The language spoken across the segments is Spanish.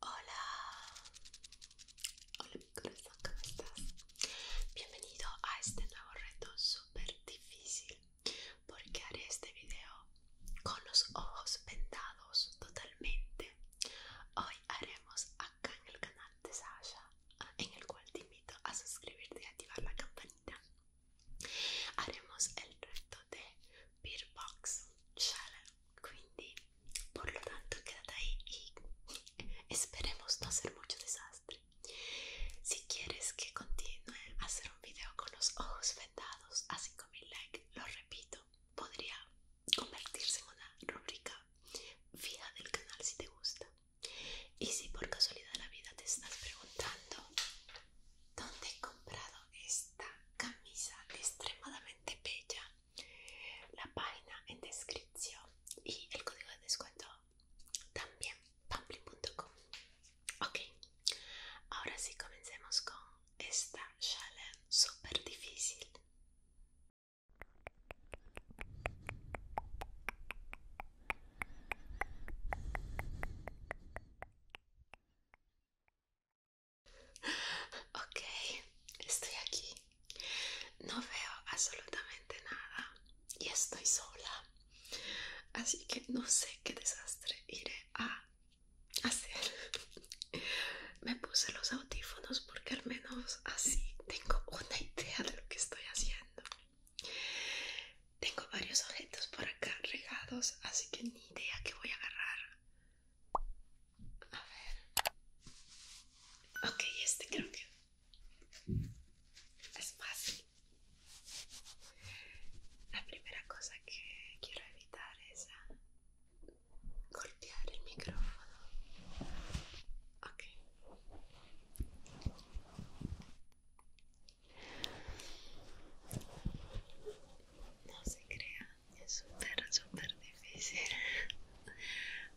Hola, hola mi corazón, ¿cómo estás? Bienvenido a este nuevo reto súper difícil porque haré este video con los ojos vendados totalmente. Hoy haremos acá en el canal de Sasha, en el cual te invito a suscribirte y activar la campanita. Haremos el reto de Beer Box Challenge por lo tanto quédate ahí y esperemos no hacer mucho desastre si quieres que continúe a hacer un video con los ojos vendados a 5000 likes lo repito podría convertirse en una rúbrica fija del canal si te gusta y si por casualidad en la vida te estás preguntando dónde he comprado esta camisa extremadamente bella la página en descripción y el código de descuento también pamplin.com ok ahora sí comencemos con esta challenge super difícil Ok, estoy aquí. No veo absolutamente nada y estoy sola. Así que no sé qué desastre iré a hacer. Me puse los audífonos porque al menos así tengo una idea de lo que estoy haciendo. Tengo varios objetos por acá regados, así que ni idea que voy a agarrar. A ver. Ok, este creo que es fácil. La primera cosa que quiero evitar es golpear el micrófono. Ok. No se crea es súper, super difícil.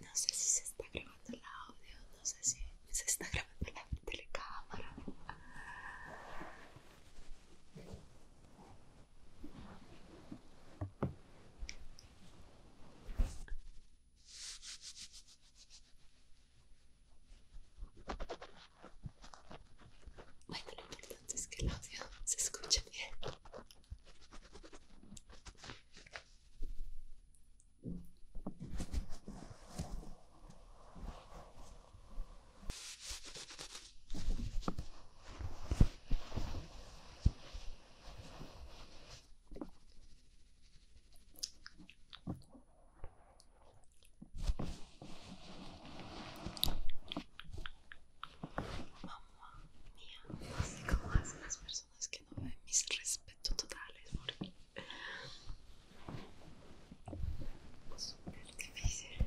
No sé si se está grabando el audio, no sé si se está grabando la telecámara. Bueno, antes que el audio se escuche bien. Mira, mía, así como hacen las personas que no ven mis respetos totales porque es difícil.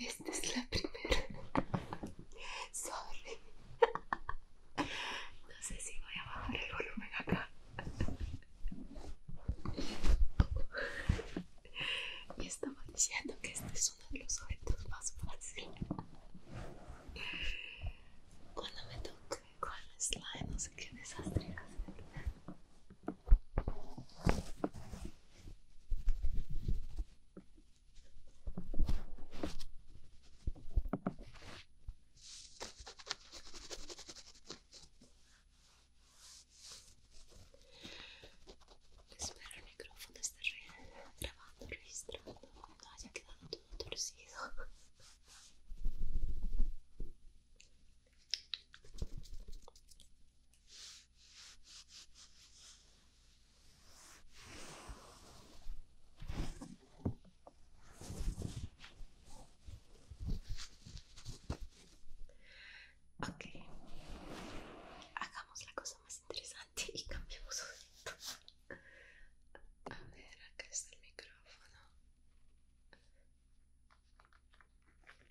Esta es la primera. Sorry. No sé si voy a bajar el volumen acá. Y estaba diciendo que este es uno de los objetos más fáciles. Cuando me toque con slime, no sé qué desastre hacer. Espero el micrófono esté grabando, registrando, no haya quedado todo torcido. Ok, hagamos la cosa más interesante y cambiemos poquito. A ver, acá está el micrófono.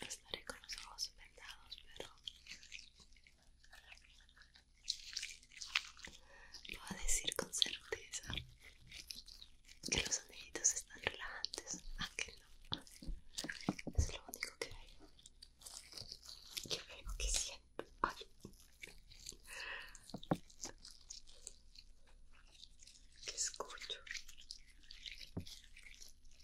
Estaré con los ojos vendados, pero voy a decir con certeza que los soniditos están relajantes, qué no es lo único que veo, que veo, que siento. Ay. Que escucho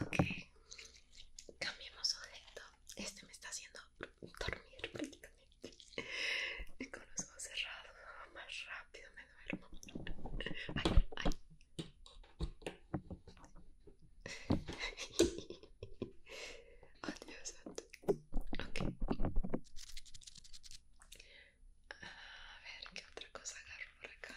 Okay, cambiemos objeto. Este me está haciendo dormir prácticamente y con los ojos cerrados ah, más rápido me duermo ay, ay. Adiós, okay. A ver, ¿qué otra cosa agarro por acá?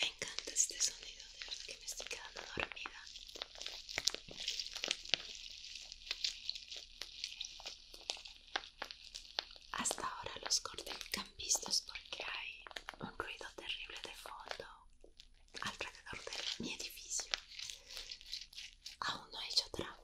Me encanta este sonido, de verdad que me estoy quedando dormida. Hasta ahora los campistas porque hay un ruido terrible de fondo alrededor de mi edificio aún no he hecho trampa.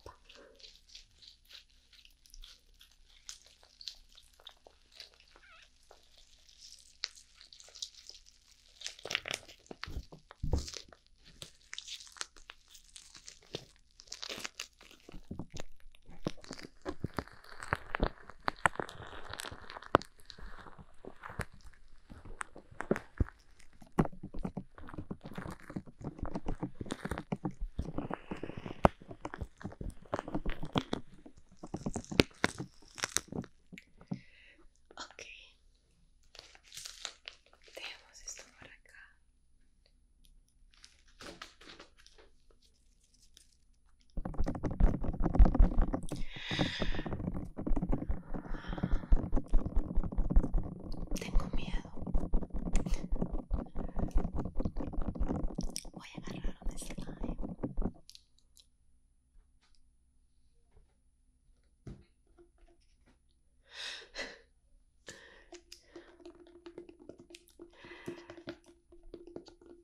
Okay, dejemos esto por acá. Tengo miedo. Voy a agarrar un slime.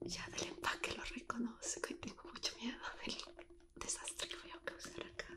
Ya del empaque lo reconozco y tengo mucho miedo del desastre que voy a causar acá.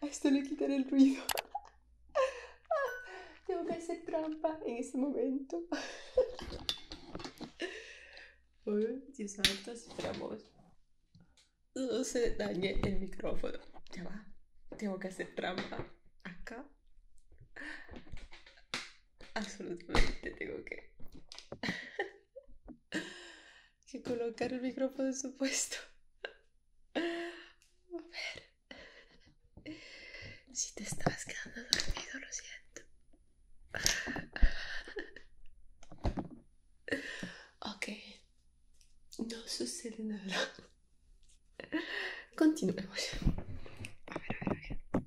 A esto le quitaré el ruido. Tengo que hacer trampa en este momento. Dios santo, esperamos. No se dañe el micrófono. Ya va. Tengo que hacer trampa. Acá. Absolutamente tengo que que colocar el micrófono en su puesto. A ver. Si te estabas quedando dormido, lo siento. Ok. No sucede nada. Continuemos. A ver, a ver, a ver.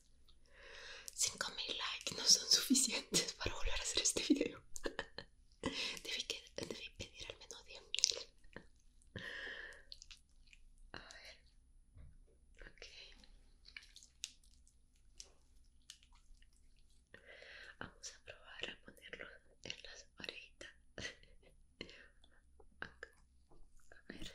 5000 likes no son suficientes para volver a hacer este video. Debí, pedir al menos 10.000. A ver. Ok. Vamos a probar a ponerlo en las orejitas. A ver.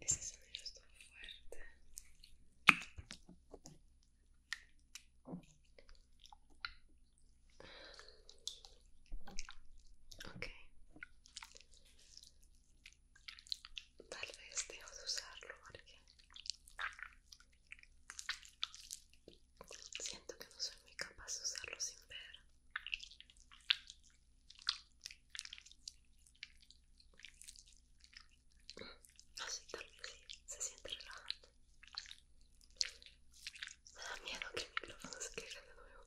Ese sonido es fuerte. Ok. Tal vez dejo de usarlo porque Siento que no soy muy capaz de usarlo sin ver. Así tal vez se siente relajante. Me da miedo que el micrófono se quede de nuevo.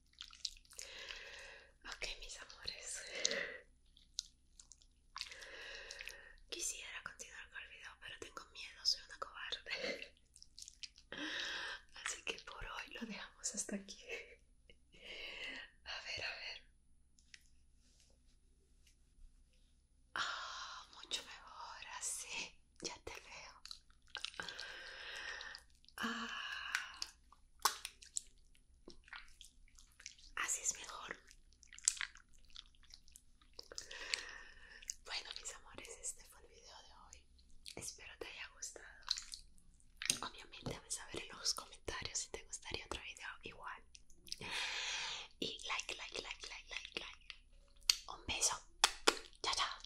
Ok, mis amores. Quisiera continuar con el video, pero tengo miedo, soy una cobarde. Así que por hoy lo dejamos hasta aquí. A ver, a ver. Ah, mucho mejor así. Ya te veo. Ah. así es mejor. Bueno, mis amores, este fue el video de hoy. Espero te haya gustado. Obviamente, a saber en los comentarios si te gustaría otro video igual. Y like, like, like, like, like, like. Un beso. Chao, chao.